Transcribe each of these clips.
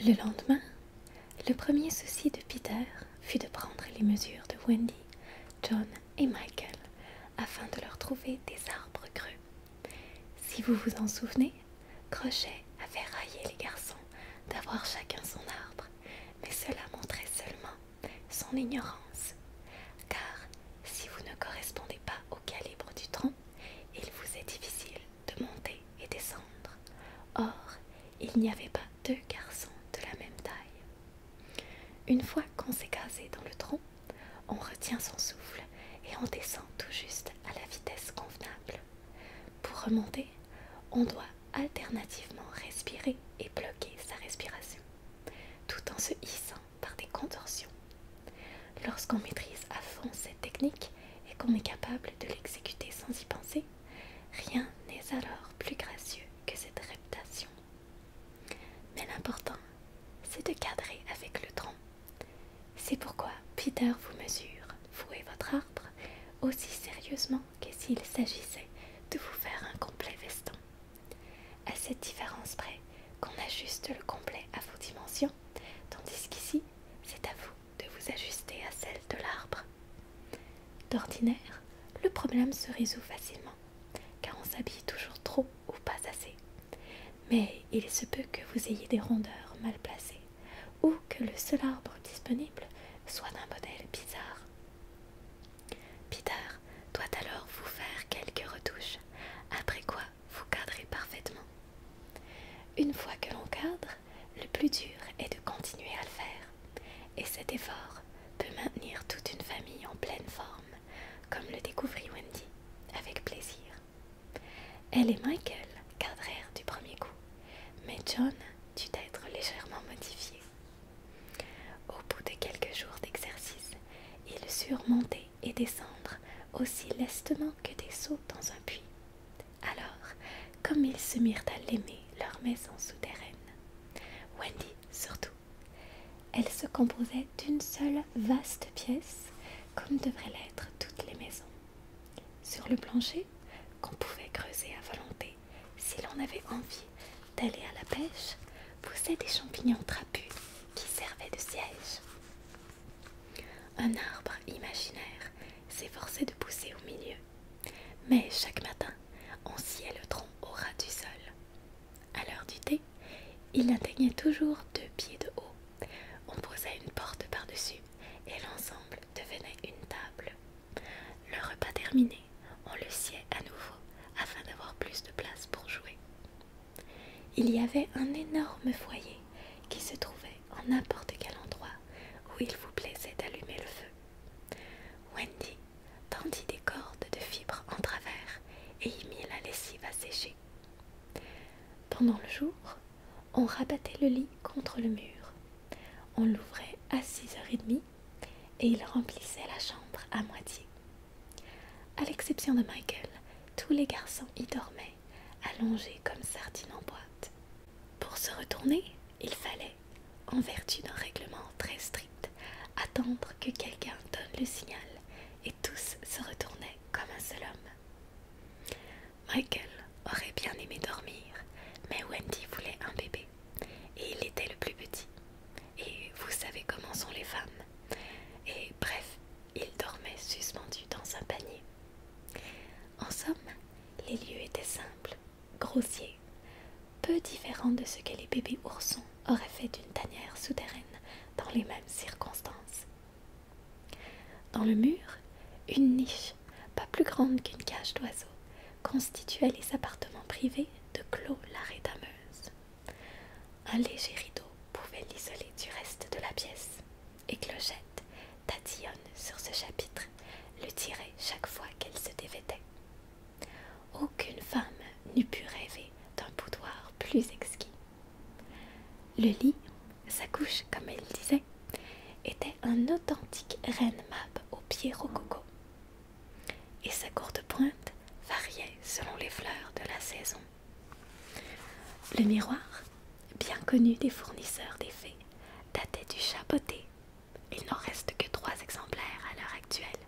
Le lendemain, le premier souci de Peter fut de prendre les mesures de Wendy, John et Michael afin de leur trouver des arbres creux. Si vous vous en souvenez, Crochet avait raillé les garçons d'avoir chacun son arbre, mais cela montrait seulement son ignorance, car si vous ne correspondez pas au calibre du tronc, il vous est difficile de monter et descendre. Or, il n'y avait pas deux garçons de la même taille. Une fois qu'on s'est casé dans le tronc, on retient son souffle et on descend tout juste à la vitesse convenable. Pour remonter, on doit alternativement respirer et bloquer sa respiration, tout en se hissant par des contorsions. Lorsqu'on maîtrise à fond cette technique, et qu'on est capable de l'exécuter sans y penser, rien n'est alors plus gracieux que cette reptation. Mais l'important, c'est de cadrer avec le tronc. C'est pourquoi Peter vous mesure, vous et votre arbre, aussi sérieusement que s'il s'agissait de vous faire un complet veston. À cette différence près qu'on ajuste le complet à vos dimensions, tandis qu'ici, c'est à vous de vous ajuster à celle de l'arbre. D'ordinaire, le problème se résout facilement, car on s'habille toujours trop ou pas assez. Mais il se peut que vous ayez des rondeurs mal placées, ou que le seul arbre disponible soit d'un modèle bizarre. Peter doit alors vous faire quelques retouches, après quoi vous cadrez parfaitement. Une fois que l'on cadre, le plus dur est de continuer à le faire, et cet effort peut maintenir toute une famille en pleine forme, comme le découvrit Wendy avec plaisir. Elle et Michael cadrèrent du premier coup, mais John dut être légèrement modifié. Au bout de quelques jours d'exercice, ils surent monter et descendre aussi lestement que des sauts dans un puits. Alors, comme ils se mirent à l'aimer, leur maison souterraine, Wendy surtout, elle se composait d'une seule vaste pièce, comme devraient l'être toutes les maisons. Sur le plancher, qu'on pouvait creuser à volonté, si l'on avait envie d'aller à la pêche, poussaient des champignons trapus qui servaient de siège. Un arbre imaginaire s'efforçait de pousser au milieu. Mais chaque matin, on sciait le tronc au ras du sol. À l'heure du thé, il atteignait toujours deux pieds de haut. On posait une porte par-dessus et l'ensemble devenait une table. Le repas terminé, on le sciait à nouveau afin d'avoir plus de place pour jouer. Il y avait un énorme foyer qui se trouvait en n'importe quel endroit où il vous plaisait d'allumer le feu. Wendy tendit des cordes de fibres en travers et y mit la lessive à sécher. Pendant le jour, on rabattait le lit contre le mur. On l'ouvrait à 6h30 et il remplissait la chambre à moitié. À l'exception de Michael, tous les garçons y dormaient allongés comme sardines en boîte. Pour se retourner, il fallait, en vertu d'un règlement très strict, attendre que quelqu'un donne le signal, et tous se retournaient comme un seul homme. Michael aurait bien aimé dormir, mais Wendy voulait un bébé, et il était le plus petit. Et vous savez comment sont les femmes. Et bref, il dormait suspendu dans un panier. En somme, les lieux étaient simples, grossiers, peu différents de ce que les bébés oursons auraient fait d'une tanière souterraine dans les mêmes circonstances. Dans le mur, une niche, pas plus grande qu'une cage d'oiseaux, constituait les appartements privés de Clos rédameuse. Un léger rideau pouvait l'isoler du reste de la pièce et Clochette tatillonne sur ce chapitre, le tirait chaque fois qu'elle se dévêtait. Aucune femme n'eût pu rêver d'un boudoir plus exquis. Le lit, sa couche comme elle disait, était un authentique reine map au pied rococo. Et sa courte pointe variait selon les fleurs de la saison. Le miroir, bien connu des fournisseurs des fées, datait du chapeauté. Il n'en reste que trois exemplaires à l'heure actuelle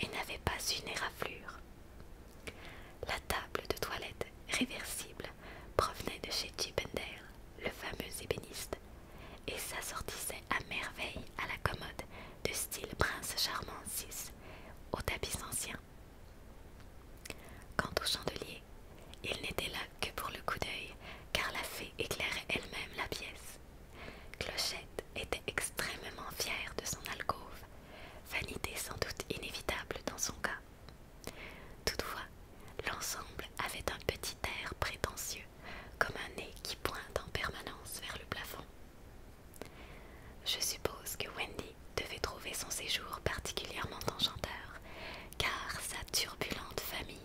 et n'avait pas une éraflure. La table de toilette réversible provenait de chez Chippendale, le fameux ébéniste, et s'assortissait à merveille à la commode de style Prince Charmant VI au tapis ancien Quant au chandelier, il n'était là que pour le coup d'œil, car la fée éclairait elle-même la pièce. Clochette était extrêmement fière de son alcôve, vanité sans doute inévitable dans son cas. Toutefois, l'ensemble avait un petit air prétentieux, comme un nez qui pointe en permanence vers le plafond. Je suppose que Wendy devait trouver son séjour particulièrement enchanteur, car sa turbulente famille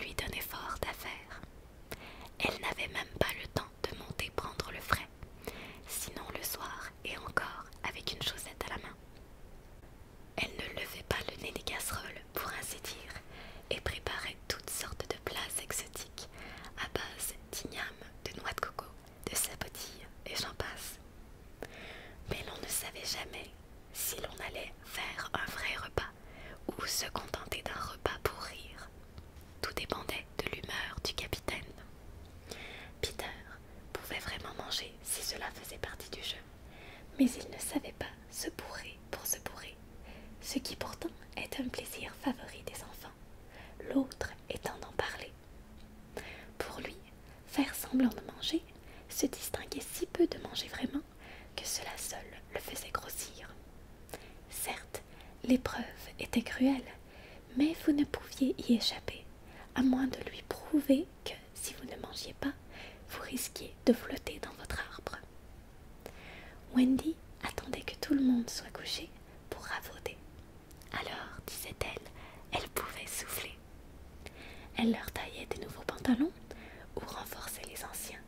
lui donnait fort d'affaires. Elle n'avait même pas le temps de monter prendre le frais, sinon le soir et encore avec une chaussette à la main. Elle ne levait pas le nez des casseroles, pour ainsi dire, et préparait toutes sortes de plats exotiques à base d'igname, de noix de coco, de sapotilles et j'en passe. Mais l'on ne savait jamais si l'on allait faire un vrai repas ou se contenter d'un repas pour rire. Tout dépendait de l'humeur du capitaine. Peter pouvait vraiment manger si cela faisait partie du jeu, mais il ne savait pas se bourrer pour se bourrer, ce qui pourtant est un plaisir favori des enfants, l'autre étant d'en parler. Pour lui, faire semblant de manger se distinguait si peu de manger vraiment que cela seul le faisait grossir. Certes, l'épreuve était cruelle, mais vous ne pouviez y échapper, à moins de lui prouver que, si vous ne mangiez pas, vous risquiez de flotter dans votre arbre. Wendy attendait que tout le monde soit couché pour ravauder. Alors, disait-elle, elle pouvait souffler. Elle leur taillait des nouveaux pantalons ou renforçait les anciens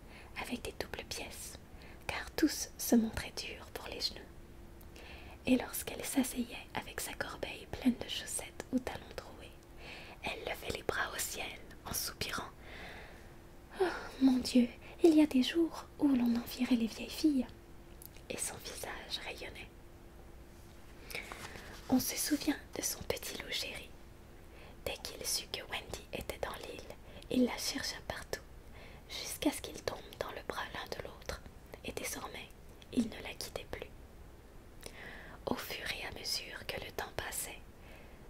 avec des doubles pièces, car tous se montraient durs pour les genoux. Et lorsqu'elle s'asseyait avec sa corbeille pleine de chaussettes aux talons troués, elle levait les bras au ciel en soupirant. Oh mon Dieu, il y a des jours où l'on envierait les vieilles filles. Et son visage rayonnait. On se souvient de son petit loup chéri. Dès qu'il sut que Wendy était dans l'île, il la chercha partout, jusqu'à ce qu'ils tombent dans le bras l'un de l'autre, et désormais il ne la quittait plus. Au fur et à mesure que le temps passait,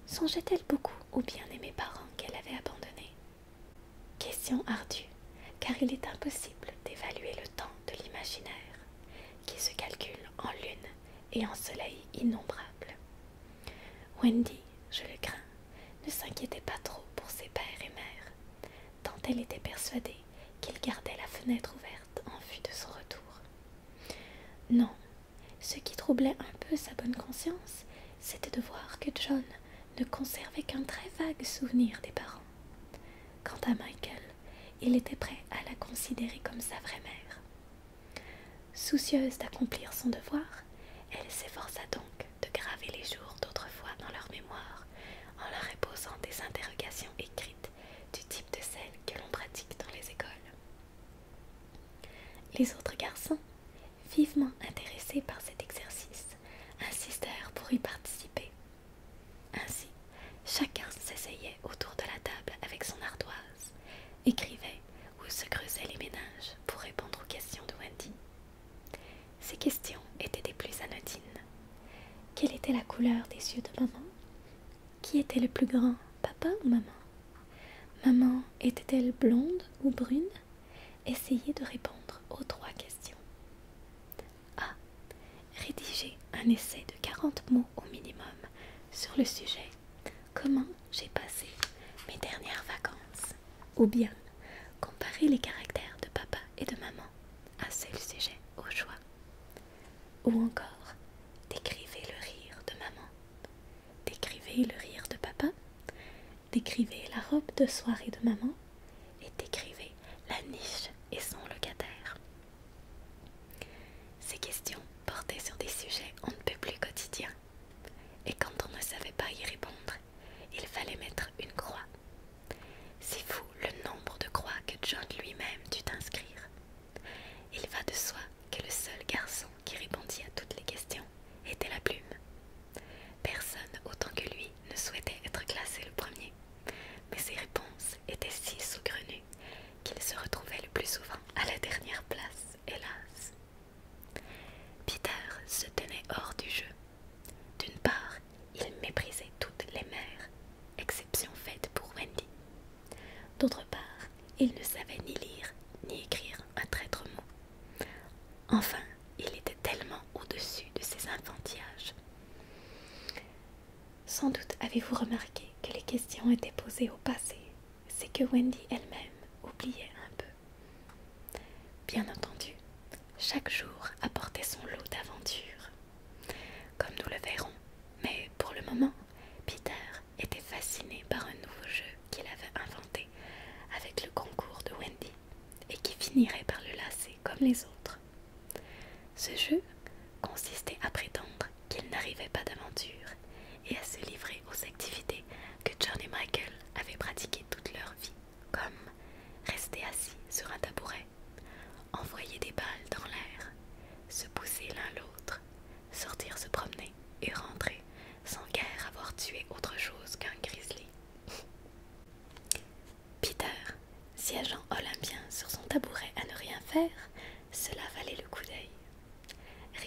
songeait-elle beaucoup aux bien-aimés parents qu'elle avait abandonnés Question ardue, car il est impossible d'évaluer le temps de l'imaginaire qui se calcule en lune et en soleil innombrables. Wendy, je le crains, ne s'inquiétait pas trop pour ses pères et mères, tant elle était persuadée qu'ils gardait la fenêtre ouverte en vue de son retour. Non, ce qui troublait un peu sa bonne conscience, c'était de voir que John ne conservait qu'un très vague souvenir des parents. Quant à Michael, il était prêt à la considérer comme sa vraie mère. Soucieuse d'accomplir son devoir, elle s'efforça donc de graver les jours d'autrefois dans leur mémoire en leur posant des interrogations écrites du type de celles que l'on pratique dans les écoles. Les autres garçons, vivement intéressés par cet exercice, insistèrent pour y participer, ainsi, chacun s'essayait autour de la table avec son ardoise, écrivait ou se creusait les ménages pour répondre aux questions de Wendy. Ces questions étaient des plus anodines. Quelle était la couleur des yeux de maman Qui était le plus grand, papa ou maman Maman était-elle blonde ou brune Essayez de répondre aux trois questions. A. Rédiger un essai de 40 mots au minimum sur le sujet Comment j'ai passé mes dernières vacances Ou bien comparer les caractères de papa et de maman à ceux sujet au choix Ou encore Décrivez le rire de maman Décrivez le rire de papa Décrivez la robe de soirée de maman et décrivez la niche et son locataire. Ces questions portaient sur des sujets on ne peut plus quotidiens, et quand on ne savait pas y répondre, il fallait mettre une croix. C'est fou le nombre de croix que John lui-même dut inscrire. Il va de soi que le seul garçon qui répondit à toutes les questions était la plume. Personne autant que lui ne souhaitait être classé le premier mais ses réponses étaient si saugrenues qu'il se retrouvait le plus souvent à la dernière place, hélas. Peter se tenait hors du jeu. D'une part, il méprisait toutes les mères, exception faite pour Wendy. D'autre part, il ne savait ni lire ni écrire un traître mot. Enfin, il était tellement au-dessus de ses enfantillages sans doute avez-vous remarqué que les questions étaient posées au passé, c'est que Wendy elle-même oubliait un peu. Bien entendu, chaque jour apportait son lot d'aventures. Comme nous le verrons, mais pour le moment, Peter était fasciné par un nouveau jeu qu'il avait inventé avec le concours de Wendy et qui finirait par le lasser comme les autres. Ce jeu consistait à prétendre qu'il n'arrivait pas d'aventure et à se livrer aux activités que John et Michael avaient pratiquées toute leur vie, comme rester assis sur un tabouret, envoyer des balles dans l'air, se pousser l'un l'autre, sortir se promener et rentrer sans guère avoir tué autre chose qu'un grizzly. Peter agent olympien sur son tabouret à ne rien faire, cela valait le coup d'œil.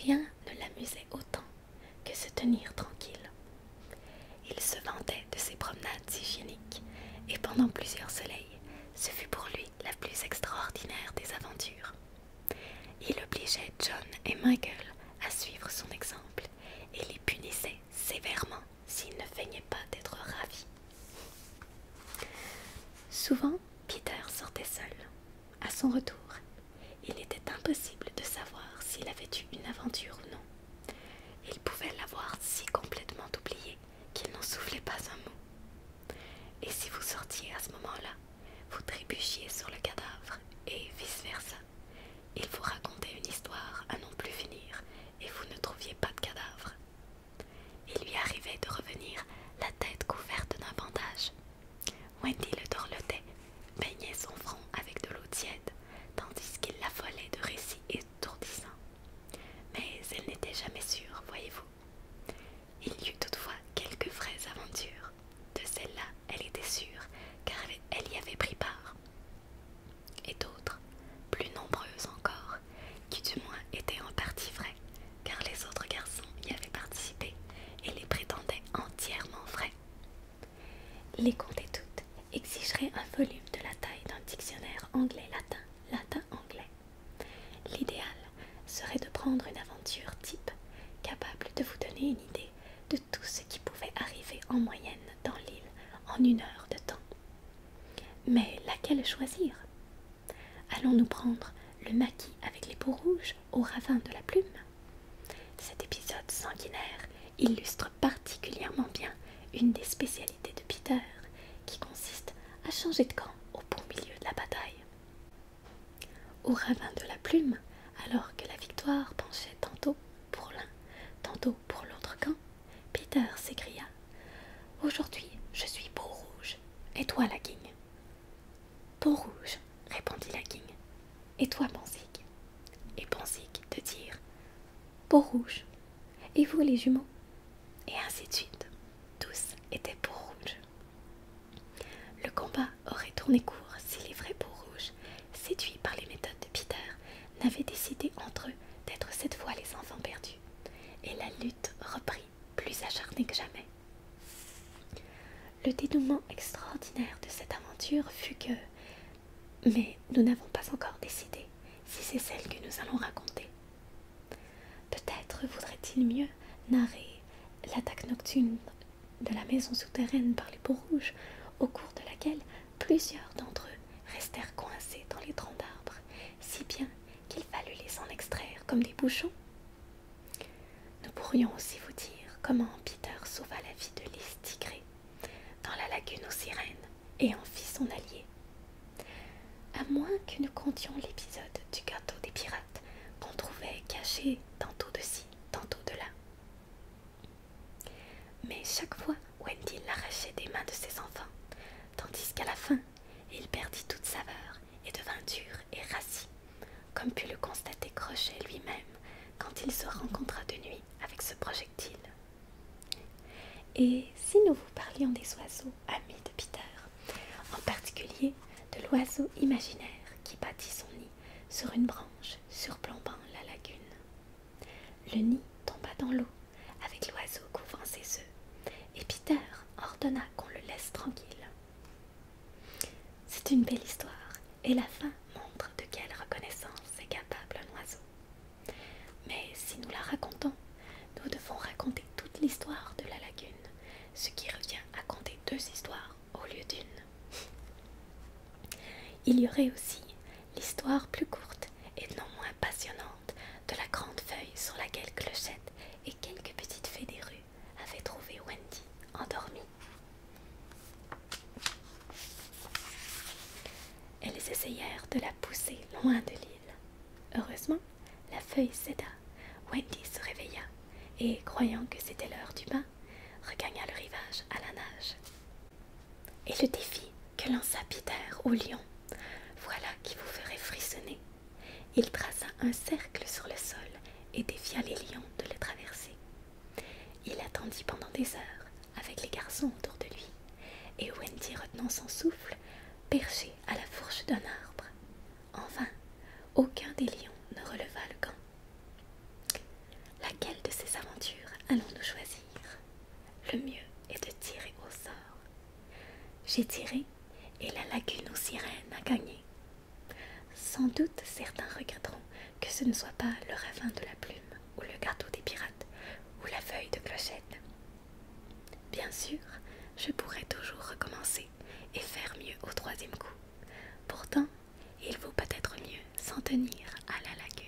Rien ne l'amusait autant que se tenir tranquille. Il se vantait de ses promenades hygiéniques, et pendant plusieurs soleils, ce fut pour lui la plus extraordinaire des aventures. Il obligeait John et Michael à suivre son exemple et les punissait sévèrement s'ils ne feignaient pas d'être ravis. Souvent, Peter sortait seul. À son retour, il était impossible de savoir s'il avait eu une aventure ou non. Il pouvait l'avoir si complètement oublié qu'il n'en soufflait pas un mot. Et si vous sortiez à ce moment-là, vous trébuchiez sur le cadavre et vice-versa. Il vous racontait une histoire à non plus finir et vous ne trouviez pas de cadavre. Il lui arrivait de revenir la tête couverte d'un bandage. Wendy le dorlotait, baignait son front avec de l'eau tiède, tandis qu'il l'affolait de récits étourdissants. Mais elle n'était jamais sûre, voyez-vous. Il y eut toutefois quelques vraies aventures. De celles là elle était sûre, car elle y avait pris part. Et d'autres, plus nombreuses encore, qui du moins était en partie vrais, car les autres garçons y avaient participé et les prétendaient entièrement vrais. Les compter toutes exigerait un volume de la taille d'un dictionnaire anglais-latin, latin-anglais. L'idéal serait de prendre une aventure type capable de vous donner une idée de tout ce qui pouvait arriver en moyenne dans l'île en une heure de temps. Mais laquelle choisir Allons nous prendre le maquis avec les peaux rouges au ravin de la plume Cet épisode sanguinaire illustre particulièrement bien une des spécialités de Peter qui consiste à changer de camp au bon milieu de la bataille. Au ravin de la plume, alors que la victoire penchait tantôt pour l'un, tantôt pour l'autre camp, Peter s'écria. Aujourd'hui, je suis Peau-Rouge. Et toi, la guigne. »« Beau rouge répondit la guigne, « Et toi, bonzig. Et bonzig de dire Beau rouge Et vous, les jumeaux Et ainsi de suite. Tous étaient beau rouge Le combat aurait tourné court si les vrais Peaux-Rouges, séduits par les méthodes de Peter, n'avaient décidé entre eux d'être cette fois les enfants perdus et la lutte reprit plus acharnée que jamais. Le dénouement extraordinaire de cette aventure fut que, mais nous n'avons pas encore décidé si c'est celle que nous allons raconter. Peut-être voudrait il mieux narrer l'attaque nocturne de la maison souterraine par les peaux rouges, au cours de laquelle plusieurs d'entre eux restèrent coincés dans les troncs d'arbres si bien qu'il fallut les en extraire comme des bouchons. Nous pourrions aussi vous dire comment Peter sauva la vie de Lys Tigré dans la lagune aux sirènes et en fit son allié. À moins que nous comptions l'épisode du gâteau des pirates qu'on trouvait caché tantôt de ci, tantôt de là. Mais chaque fois, Wendy l'arrachait des mains de ses enfants, tandis qu'à la fin, il perdit toute saveur et devint dur et rassis, comme put le constater Crochet lui-même quand il se rencontra de nuit avec ce projectile. Et si nous vous parlions des oiseaux amis de Peter, en particulier de l'oiseau imaginaire qui bâtit son nid sur une branche surplombant la lagune. Le nid tomba dans l'eau avec l'oiseau couvrant ses œufs, et Peter ordonna qu'on le laisse tranquille. C'est une belle histoire, et la fin montre de quelle reconnaissance est capable un oiseau. Mais si nous la racontons, nous devons raconter toute l'histoire de la lagune, ce qui revient à compter deux histoires au lieu d'une. Il y aurait aussi l'histoire plus courte et non moins passionnante de la grande feuille sur laquelle Clochette et quelques petites fées des rues avaient trouvé Wendy endormie. Elles essayèrent de la pousser loin de l'île. Heureusement, la feuille céda. Wendy se réveilla et, croyant que c'était l'heure du bain, regagna le rivage à la nage. Et le défi que lança Peter au lion, voilà qui vous ferait frissonner il traça un cercle sur le sol et défia les lions de le traverser. Il attendit pendant des heures, avec les garçons autour de lui, et Wendy retenant son souffle, perché à la fourche d'un arbre. Enfin, aucun des lions ne releva le camp. Laquelle de ces aventures allons-nous choisir Le mieux est de tirer au sort. J'ai tiré et la lagune aux sirènes a gagné. Sans doute certains regretteront que ce ne soit pas le ravin de la plume ou le gâteau des pirates ou la feuille de clochette. Bien sûr, je pourrais toujours recommencer et faire mieux au troisième coup. Pourtant, il vaut peut-être mieux s'en tenir à la lagune.